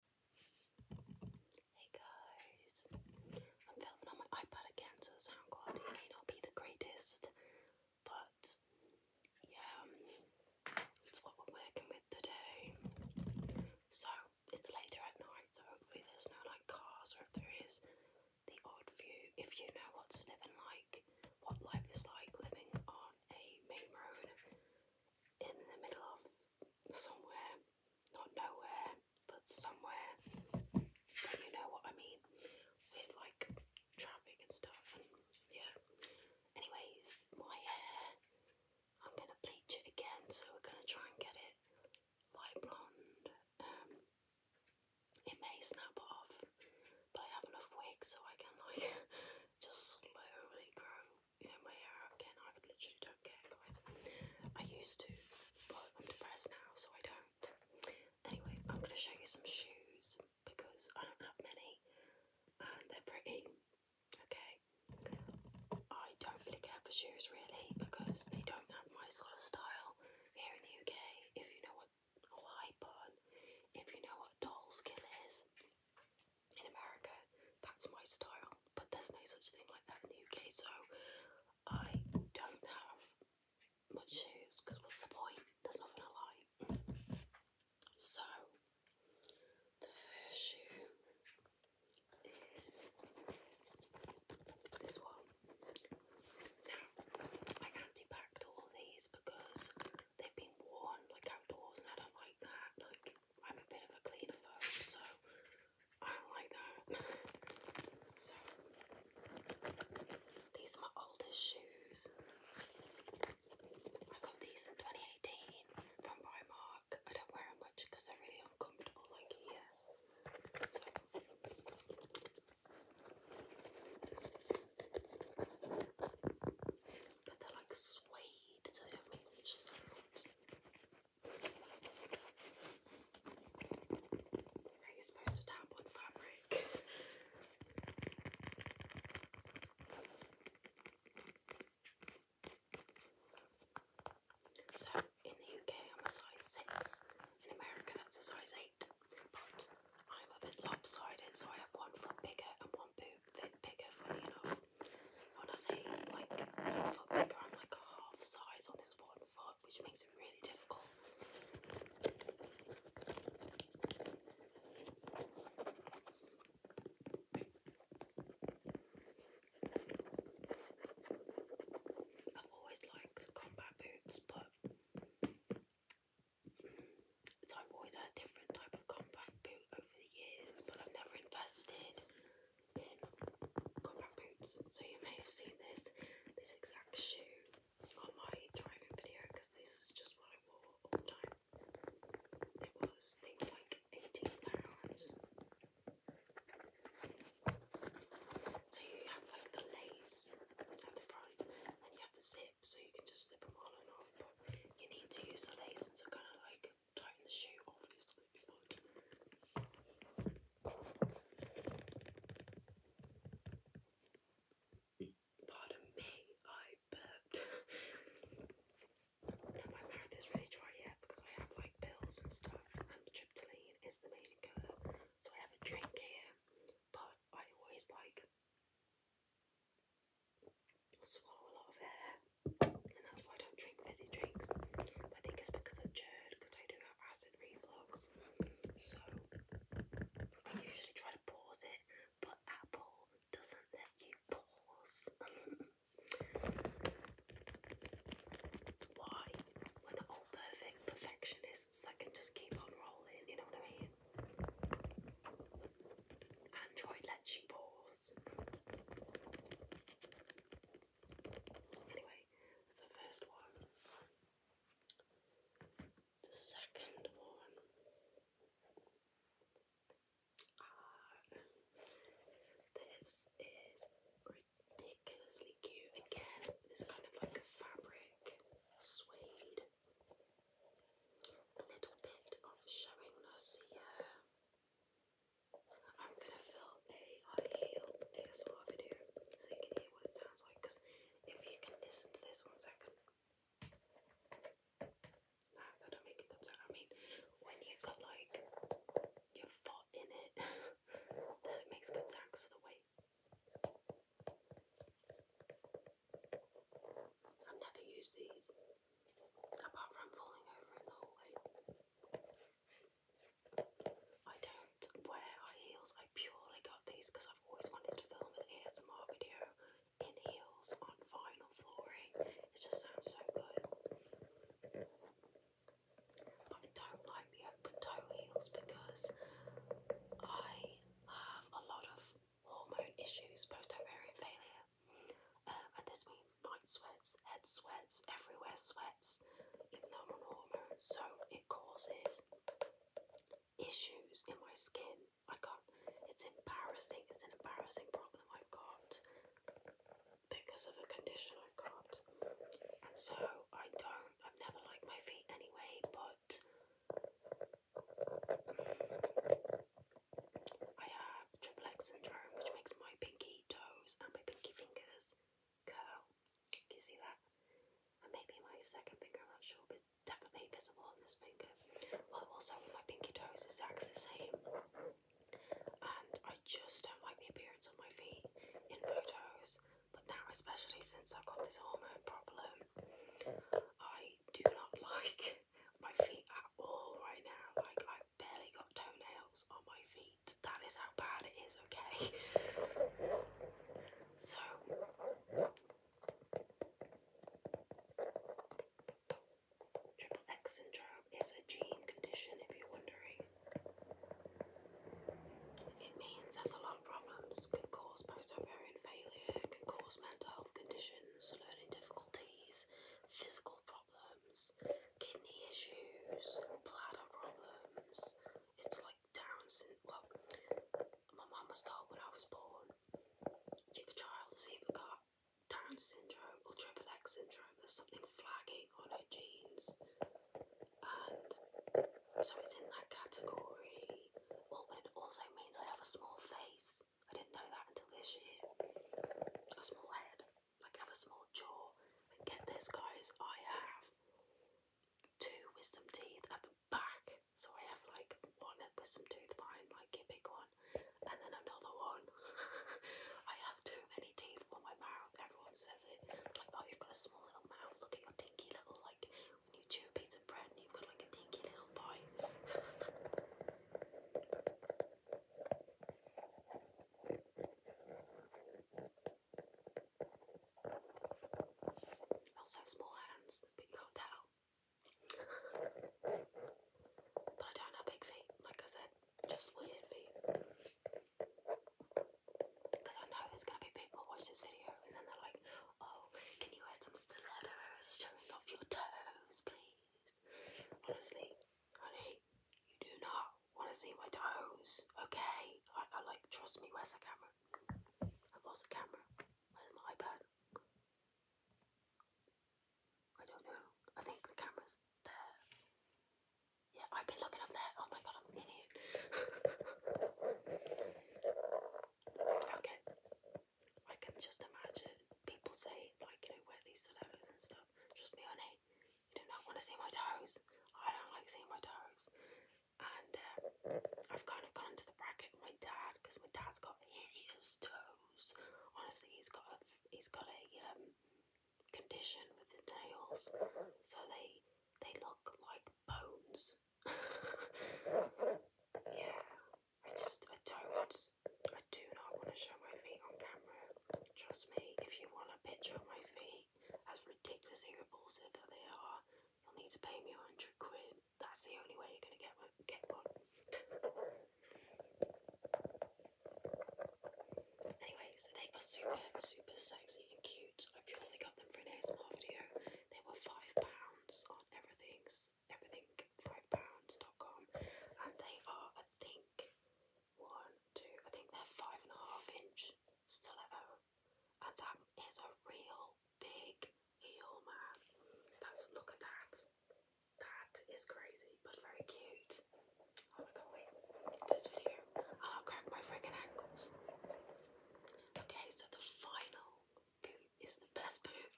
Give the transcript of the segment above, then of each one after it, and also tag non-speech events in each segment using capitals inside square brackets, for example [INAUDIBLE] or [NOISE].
Hey guys, I'm filming on my iPad again, so the sound quality may not be the greatest, but yeah, it's what we're working with today. So it's later at night, so hopefully there's no like cars, or if there is, the odd view. If you know what's living like, what life is like living on a main road in the middle of somewhere, not nowhere, but somewhere, you know what I mean, with like traffic and stuff, and yeah. Anyways, my hair, I'm gonna bleach it again, so we're gonna try and get it light blonde. Um, it may snap off, but I have enough wigs so I can like [LAUGHS] just slowly grow you know, my hair again. I literally don't care, guys. I used to, but I'm depressed now, so I don't. Anyway, I'm going to show you some shoes because I don't have many and they're pretty. Okay, I don't really care for shoes really because they don't have my sort of style here in the UK. If you know what a high bun, if you know what doll skill is, in America. That's my style, but there's no such thing like that in the UK, so I don't have much shoes because what's the point? There's nothing to like. So, the first shoe is this one. Now, I anti-packed all these because they've been worn like outdoors and I don't like that. Like, I'm a bit of a cleaner phone, so I don't like that. so these are my oldest shoes. I got these in 2018 from Primark. I don't wear them much because they're really uncomfortable, like here. but they're like suede need so Are supposed to tap on fabric? so in the UK I'm a size 6, in America that's a size 8, but I'm a bit lopsided so I have one foot bigger and one boot bit bigger funny enough when I say like foot bigger, I'm like half size on this one foot, which makes it really difficult. I've always liked combat boots, but so I've always had a different type of combat boot over the years, but I've never invested in combat boots. So you may have seen this this exact shoe on my driving video because this is just what I wore all the time. It was I like eighteen pounds. So you have like the lace at the front, and you have the zip, so you can just slip them on and off you need to use the laces to kind of like tighten the shoe, obviously, before Pardon me, I burped. now my mouth is really dry yet because I have like pills and stuff, and tryptoline is the main colour. So I have a drink here, but I always like swallow a lot of air, and that's why I don't drink fizzy drinks. I think it's because of GERD, because I do have acid reflux. So I usually try to pause it, but Apple doesn't let you pause. [LAUGHS] why? We're not all perfect perfectionists that can just keep on rolling, you know what I mean? Android lets you pause. Anyway, that's the first one. The second one. Uh, this is ridiculously cute. Again, this kind of like a fabric suede a little bit of showing us here. I'm gonna film a high heel ASMR video so you can hear what it sounds like. Because if you can listen to this one second, no, that'll make good sound. I mean, when you've got like your foot in it, [LAUGHS] then makes good sound because the weight i never used these apart from falling over in the hallway. I don't wear high heels, I purely got these because I've always wanted to film an ASMR video in heels on vinyl flooring. It just sounds so good. I don't like the open toe heels because I have a lot of hormone issues, post ovarian failure, um, and this means night sweats, head sweats, everywhere sweats, even though I'm on hormones. So it causes issues in my skin. I can't. It's embarrassing. It's an embarrassing problem I've got because of a condition I've got, and so I don't. I've never liked my feet anyway, but I have triple X syndrome, which makes my pinky toes and my pinky fingers curl. Can you see that? And maybe my second finger, I'm not sure, but definitely visible on this finger. Well, also my pinky toes is exactly the same. And I just don't like the appearance of my feet in photos, but now, especially since I've got this hormone problem, I do not [LAUGHS] like my feet at all right now. Like I barely got toenails on my feet. That is how bad it is, okay? So Triple X syndrome is a gene condition if you're wondering. It means there's a lot of problems, can cause post ovarian failure, can cause health conditions, learning difficulties, physical problems, kidney issues, bladder problems. It's like Down syndrome. Well, my mum was told when I was born, your child has either got Down syndrome or triple X syndrome. There's something flagging on her genes, and so it's in that category also means I have a small face. I didn't know that until this year. A small head. Like I have a small jaw. And get this guys, I have two wisdom teeth at the back. So I have like one wisdom tooth behind like big one and then another one. [LAUGHS] I have too many teeth for my mouth. Everyone says it. Like, oh you've got a small little mouth, look at your dinky little like and you chew a piece of bread and you've got like a dinky little bite. I also have small hands, but you can but I don't have big feet, like I said, just weird feet. Because I know there's going to be people watch this video and then they're like, oh, can you wear some stilettos showing off your toes, please? Honestly, honey, you do not want to see my toes, okay? I, I like, trust me, where's the camera? i lost the camera. Where's my iPad? I don't know. I think the camera's there. Yeah, I've been looking up there. Oh my god, I'm an idiot. [LAUGHS] Okay. I can just imagine people say, like, you know, wear these stilettos and stuff. just me, honey, you do not want to see my toes. I don't like seeing my toes. And uh, I've kind of gone into the bracket with my dad because my dad's got hideous toes. Honestly, he's got a he's got a um, condition with his nails, so they they look like bones yeah, I just, I don't, I do not want to show my feet on camera. Trust me, if you want a picture of my feet, as ridiculously repulsive that they are, you'll need to pay me a hundred quid. That's the only way you're gonna get one. Get one. anyway, so they are super, super sexy and cute. I've only got them for an ASMR video. They were five pounds on everything's everything five pounds dot com, and they are I think one, two, I think they're five and a half inch Still stiletto. And that is a real big heel That's look at that. That is crazy but very cute. Oh my god, wait. This video and I'll crack my freaking ankles. Okay, so the final boot is the best boot.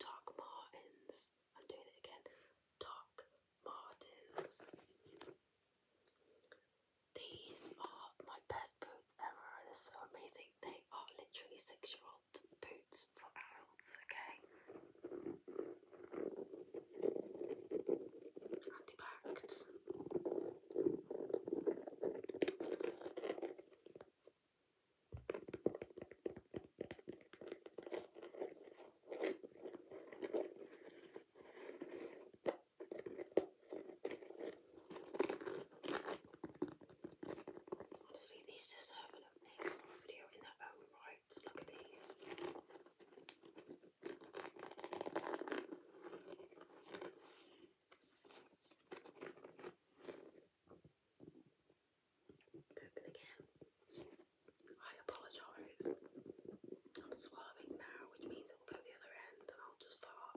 Doc Martens. I'm doing it again. Doc Martens. These are my best boots ever. They're so amazing. They are literally six year old boots for adults, okay? Antibacs. Honestly, these deserve a look video in their own right. Look at these. Open again. I apologise. I'm swallowing now, which means it will go the other end and I'll just fart.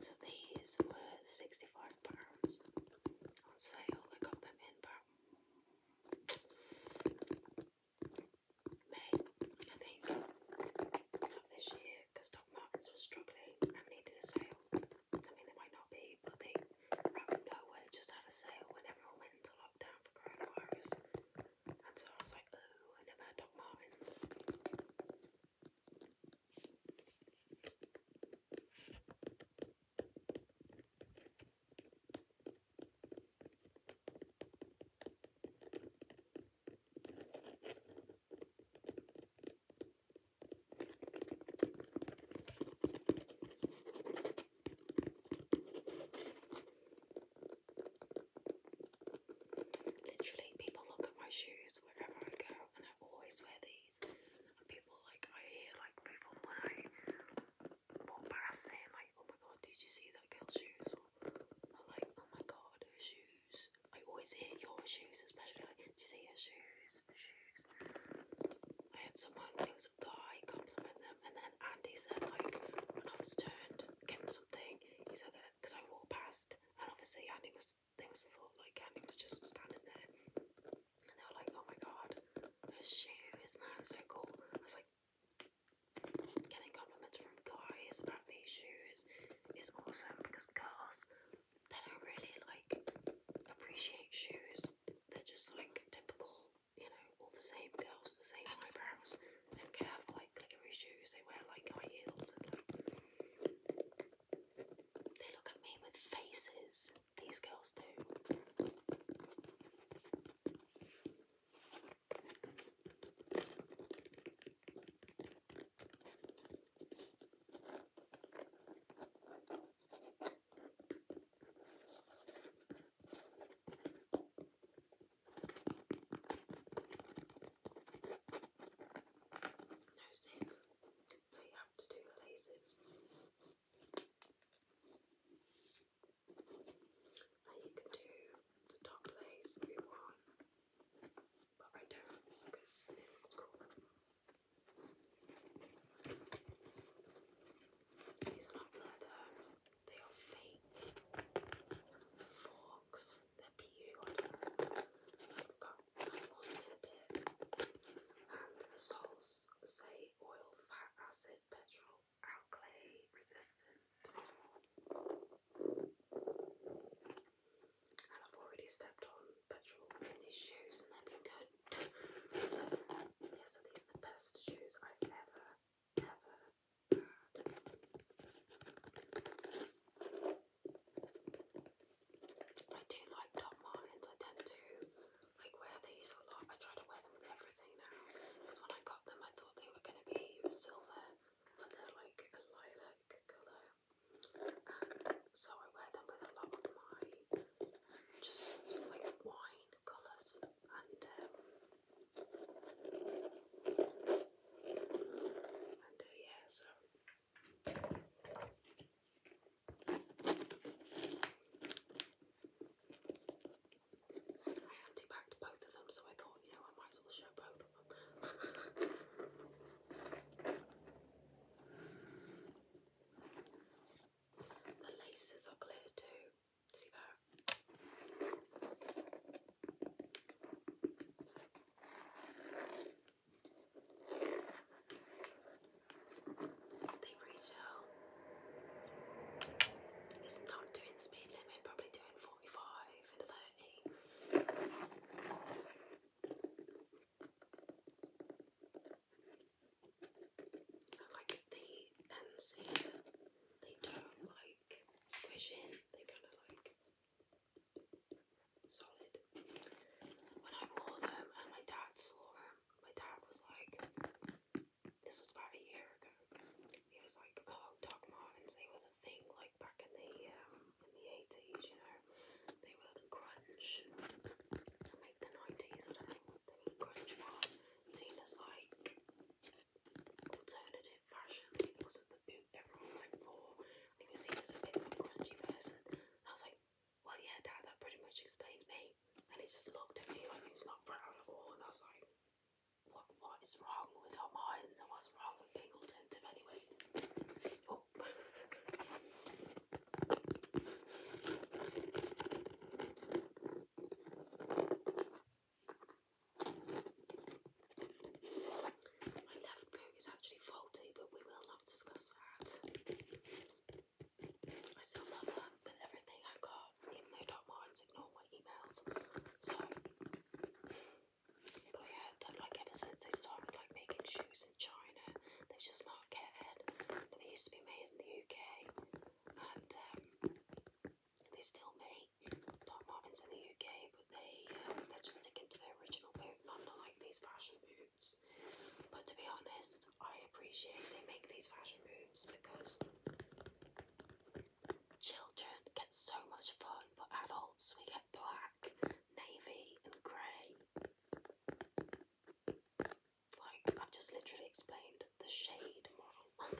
So these were £65 on sale. I got them in May, I think, of this year because Doc Martens was struggling and needed a sale. I mean, they might not be, but they, out of nowhere, just had a sale when everyone went into lockdown for coronavirus. And so I was like, oh, I Doc Martens. Literally, people look at my shoes wherever I go, and I always wear these. And people like, I hear like when I walk past them, like, oh my god, did you see that girl's shoes? like, oh my god, her shoes. I always hear your shoes, especially like, did you see her shoes. I had someone, it was a guy, compliment them, and then Andy said, like, when I was turned, getting something, he said that because I walked past, and obviously Andy was, they must have thought, like, Andy was just standing there, and they were like, oh my god, her shoe is mad, so cool. I was like, getting compliments from guys about these shoes is awesome because girls, they don't really, like, appreciate shoes they're just like typical, you know, all the same girls with the same eyebrows. They do care for like glittery shoes, they wear like high heels and like they look at me with faces. These girls do. No zip, so you have to do the laces. And you can do the top lace if you want, but I don't because it would crawl. These are not leather, they are fake. forks, they're PU, I've got one in a bit. And the soles say oil, fat, acid, petrol, alkali, resistant. And I've already stepped on petrol in these shoes and they've been good. so these are the best shoes I've ever, ever I do like Doc Martens. I tend to like wear these a lot. I try to wear them with everything now. Because when I got them, I thought they were going to be silver, but they're like a lilac colour and so I wear them with a lot of my just like wine colours and um, and uh, yeah so I anti both of them so I thought you know I might as well show both [LAUGHS] The laces are clear too. See that? They retail. It's not doing the speed limit, probably doing 45 and 30. I like the ends here, they don't like squish in, they kind of like solid. When I wore them and my dad saw them, my dad was like, this was about a year ago. He was like, oh, Doc Martens, were the thing like back in the um, in the 80s, you know, they were the grunge to make the 90s, I don't think they were grunge one, seen as like alternative fashion, it wasn't the boot everyone went for, and he was seen as a bit of grungy person, I was like, well yeah dad, that pretty much explains me, and he just looked at me like he was not proud at all, and I was like, what, what is wrong with our minds, and what's wrong with being alternative anyway, help. My left boot is actually faulty, but we will not discuss that. I still love them with everything I've got, even though Doc Martens ignore my emails. So but yeah, that, like ever since they started like making shoes in China, they've just not cared. But they used to be made in the UK, and um, they still make Doc Martens in the UK, but they um, they're just sticking to their original boot, not, not like these fashion boots. But to be honest, I appreciate they make these fashion boots because children get so much fun, but adults we get black navy and grey. Like, I've just literally explained the shade model. [LAUGHS]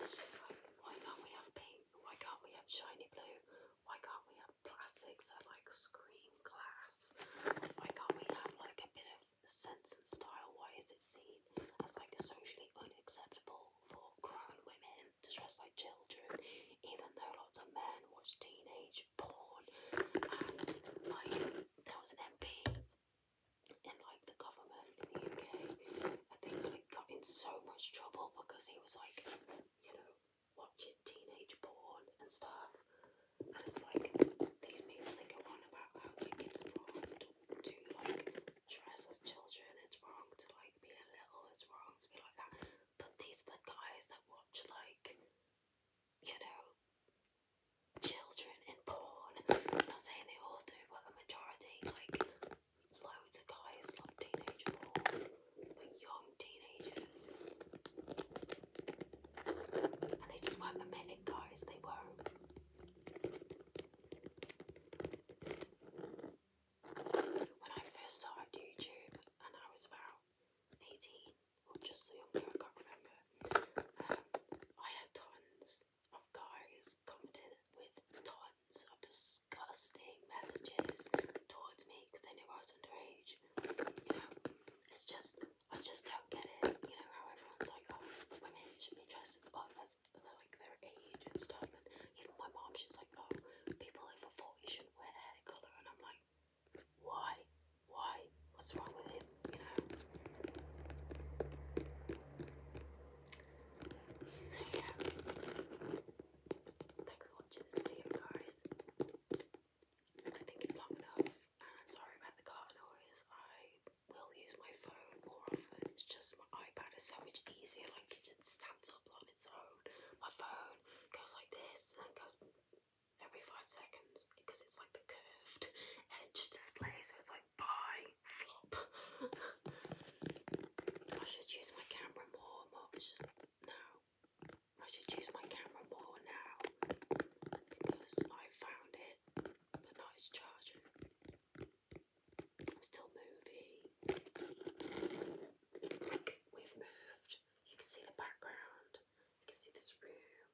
it's just like, why can't we have pink? Why can't we have shiny blue? Why can't we have plastics that like scream glass? Why can't we have like a bit of sense and style? Why is it seen as like socially unacceptable for grown women them to dress like children, even though lots of men watch teenage porn. And like, there was an MP in like the government in the UK. I think he got in so much trouble because he was like, you know, watching teenage porn and stuff. And it's like these people they go on about how like, it's wrong to, to like dress as children. It's wrong to like be a little. It's wrong to be like that. But these are the guys that watch, like, you know, children in porn. not saying they all do, but a majority, like, loads of guys love teenage porn. young teenagers. And they just won't admit it, guys, they will when I first started YouTube, and I was about 18, or just younger, I can't remember, um, I had tons of guys commenting with tons of disgusting messages towards me because they knew I was underage. You know, it's just, I just don't get it. You know, how everyone's like, oh, women should be dressed up as like their age and stuff. And even my mom, she's like, oh, people over 40 oh, shouldn't wear hair colour, and I'm like, why? Why? What's wrong with him? You know? So, yeah. Thanks for watching this video, guys. I think it's long enough, and sorry about the car noise. I will use my phone more often. It's just my iPad is so much easier, like, it stands up its My phone goes like this and goes every five seconds because it's like the curved edge display, so it's like bye flop. [LAUGHS] I should use my camera more much now. I should use my camera more now because I found it, but now it's charging. I'm still moving we've moved. You can see the background. You can see this room.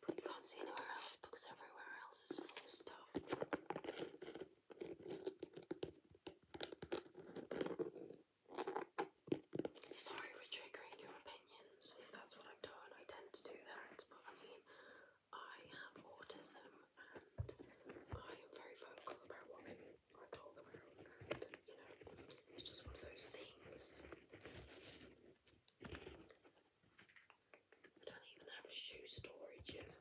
But you can't see anywhere else because everywhere else is full of stuff. Sorry for triggering your opinions if that's what I've done. I tend to do that, but I mean, I have autism and I am very vocal about what I, I talk about, you know, it's just one of those things. I don't even have shoe storage yet.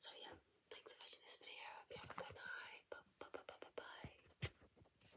So yeah, thanks for watching this video. have a good night. Bye bye bye bye bye. bye.